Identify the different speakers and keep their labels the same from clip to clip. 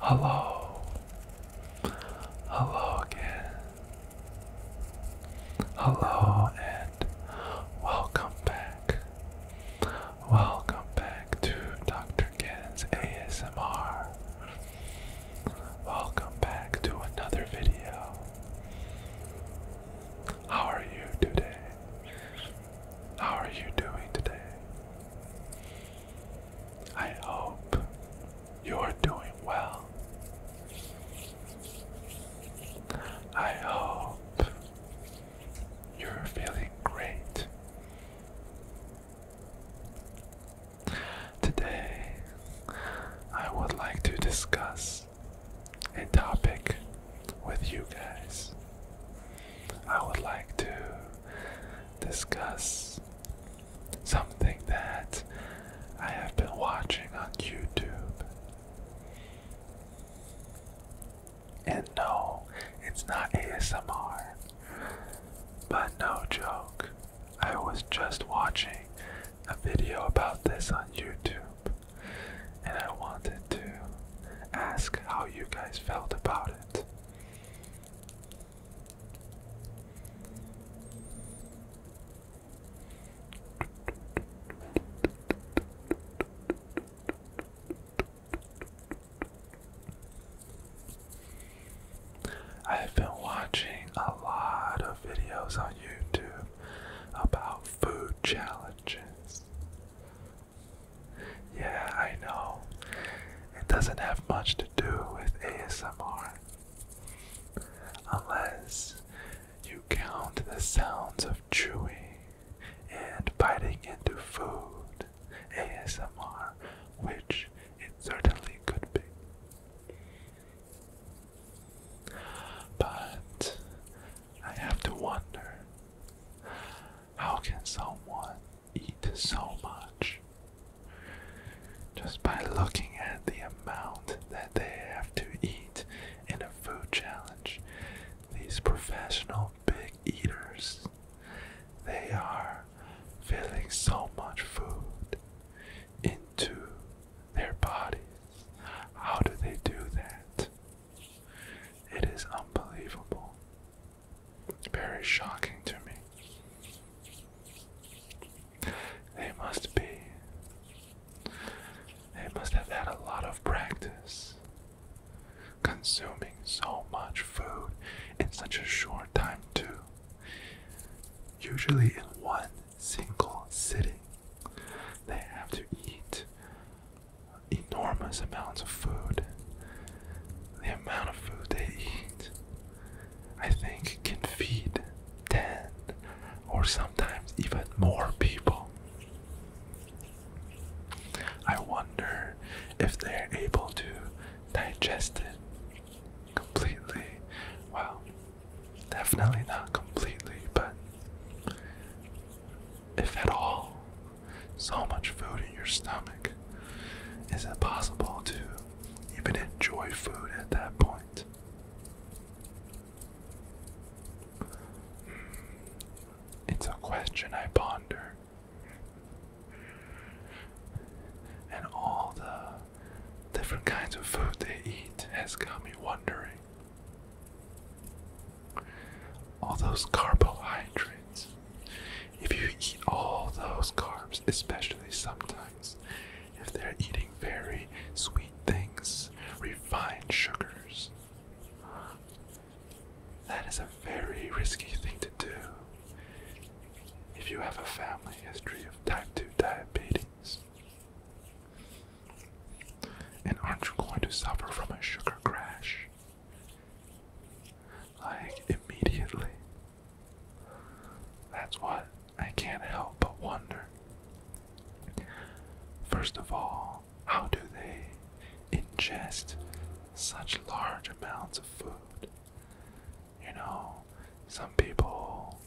Speaker 1: Hello. Hello again. Hello and welcome back. Welcome back to Dr. Ken's ASMR. Welcome back to another video. How are you today? How are you doing today? I hope you're doing well. I hope you're feeling great. Today, I would like to discuss a topic with you guys. I would like to discuss something that I have been watching on YouTube. And no, it's not ASMR. But no joke, I was just watching a video about this on YouTube, and I wanted to ask how you guys felt about it. I've been watching a lot of videos on YouTube about food challenges. Yeah, I know. It doesn't have much to do with ASMR. Unless you count the sounds of chewing and biting into food ASMR, which it certainly could be. But I have to wonder how can someone eat so much just by looking at the amount that they have to eat in a food challenge. These professional big eaters, they are filling so much food into their bodies. How do they do that? It is unbelievable. Very shocking to me. They must be. They must have had a lot of practice consuming so much food in such a short time, too. Usually, in one single sitting, they have to eat enormous amounts of food. The amount of food they eat, I think, can feed 10 or sometimes even more people. I wonder if they're able to digest it completely. Well, definitely not completely, but if at all, so much food in your stomach. Is it possible to even enjoy food at that point? Hmm. It's a question I ponder. And all the different kinds of food they eat has got me wondering all those carbohydrates. If you eat all those carbs, especially sometimes, if they're eating very sweet things, refined sugars, that is a very risky thing to do. If you have a family history of type 2 diabetes, and aren't you going to suffer from a sugar crash? like immediately. That's what I can't help but wonder. First of all, how do they ingest such large amounts of food? You know, some people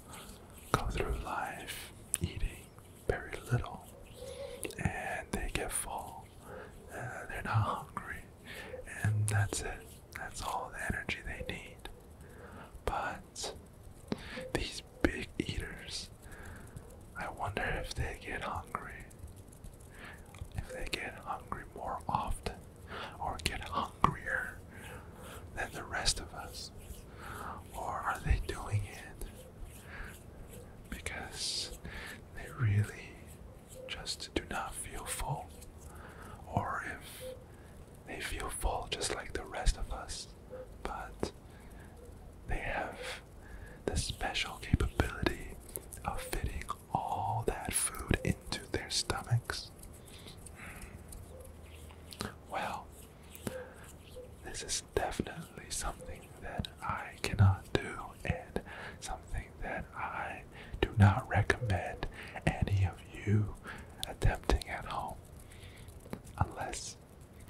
Speaker 1: go through life eating very little and they get full. Uh, they're not hungry and that's it. That's all the energy they need. But these big eaters, I wonder if they get hungry. If they get hungry more often or get hungrier than the rest of us. Or are they doing it because they really just do not feel full. Or if they feel full just like the rest of us, but they have the special capability of fitting all that food into their stomachs. Well, this is definitely something that I cannot do and something that I do not recommend any of you attempting at home unless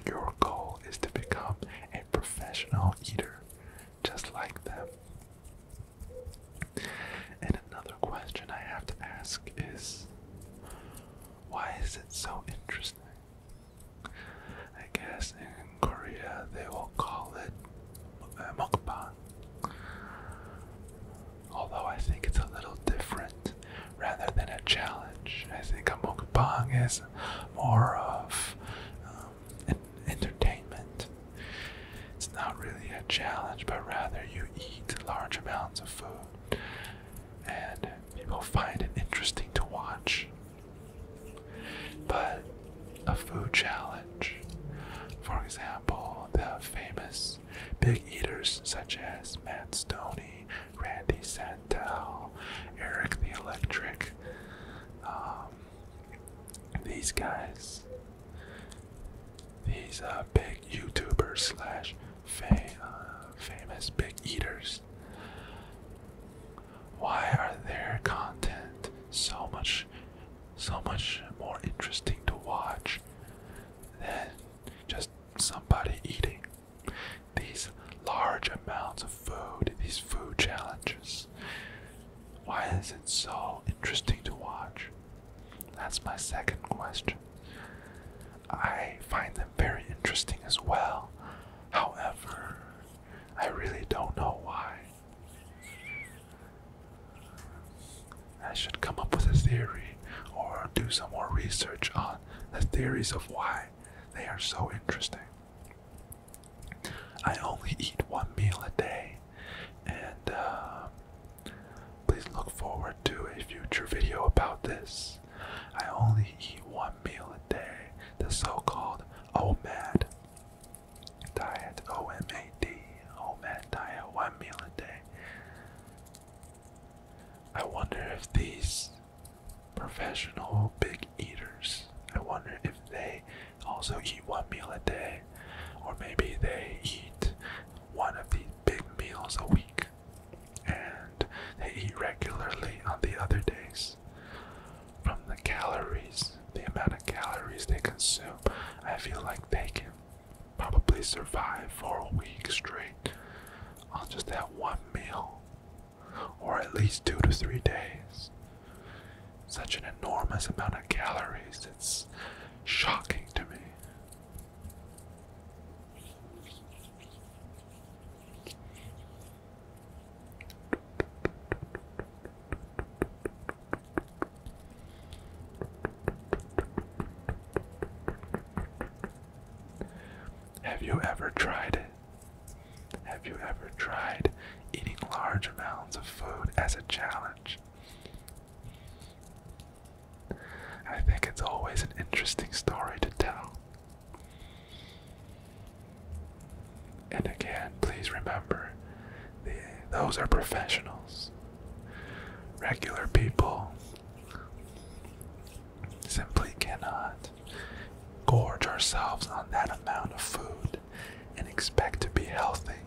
Speaker 1: your goal is to become a professional eater just like them. And another question I have to ask is why is it so interesting? I guess eh, in Korea they will call it uh, mukbang. Although I think it's a little different rather than a challenge. I think a mukbang is more of an um, entertainment. It's not really a challenge, but rather you eat large amounts of food and people find it interesting to watch. But a food challenge, for example, the famous big eaters such as Matt Stoney, Randy Santel, Eric the Electric, um, these guys, these uh, big YouTubers slash fam uh, famous big eaters. Why are their content so much so much more interesting to watch than just somebody eating these large amounts of food, these food challenges. Why is it so interesting to watch? That's my second question. I find them very interesting as well. However, I really don't know why. I should come up with a theory or do some more research on the theories of why they are so interesting. I only eat one meal a day, and uh, please look forward to a future video about this. I only eat one meal a day, the so called O-man. Diet O M A D OMAD oh diet one meal a day. I wonder if these professional big eaters I wonder if they also eat one meal a day or maybe they eat one of these big meals a week and they eat regularly on the other days from the calories, the amount of calories they consume, I feel like they can probably survive for a week straight on just that one meal, or at least two to three days. Such an enormous amount of calories, it's shocking to me. Have you ever tried Have you ever tried eating large amounts of food as a challenge? I think it's always an interesting story to tell. And again, please remember, those are professionals. Regular people simply cannot gorge ourselves on that amount of food and expect to be healthy.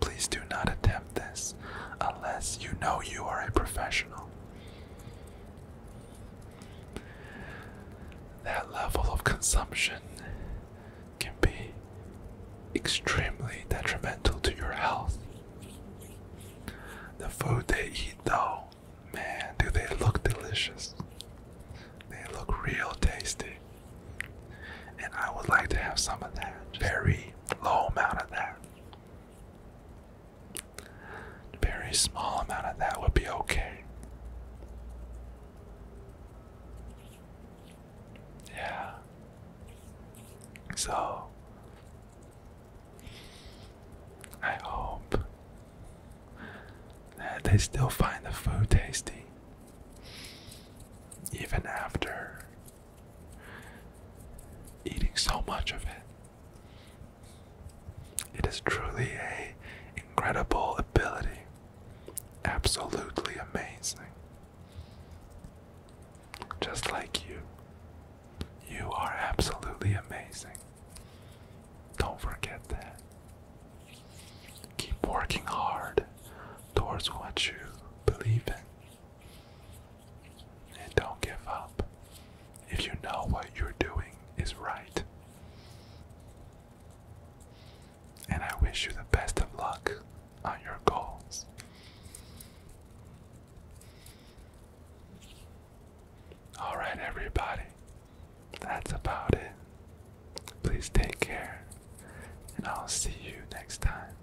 Speaker 1: Please do not attempt this unless you know you are a professional. That level of consumption can be extremely detrimental to your health. The food they eat, though, man, do they look delicious! They look real tasty, and I would like to have some of that. Very low amount of that. Very small amount of that would be okay. Yeah. So I hope that they still find the food tasty even after eating so much of it. It is truly a incredible ability Absolutely amazing. Just like you. You are absolutely amazing. Don't forget that. Keep working hard towards what you believe in. And don't give up if you know what you're doing is right. And I wish you the best of luck on your goals. Alright, everybody, that's about it. Please take care, and I'll see you next time.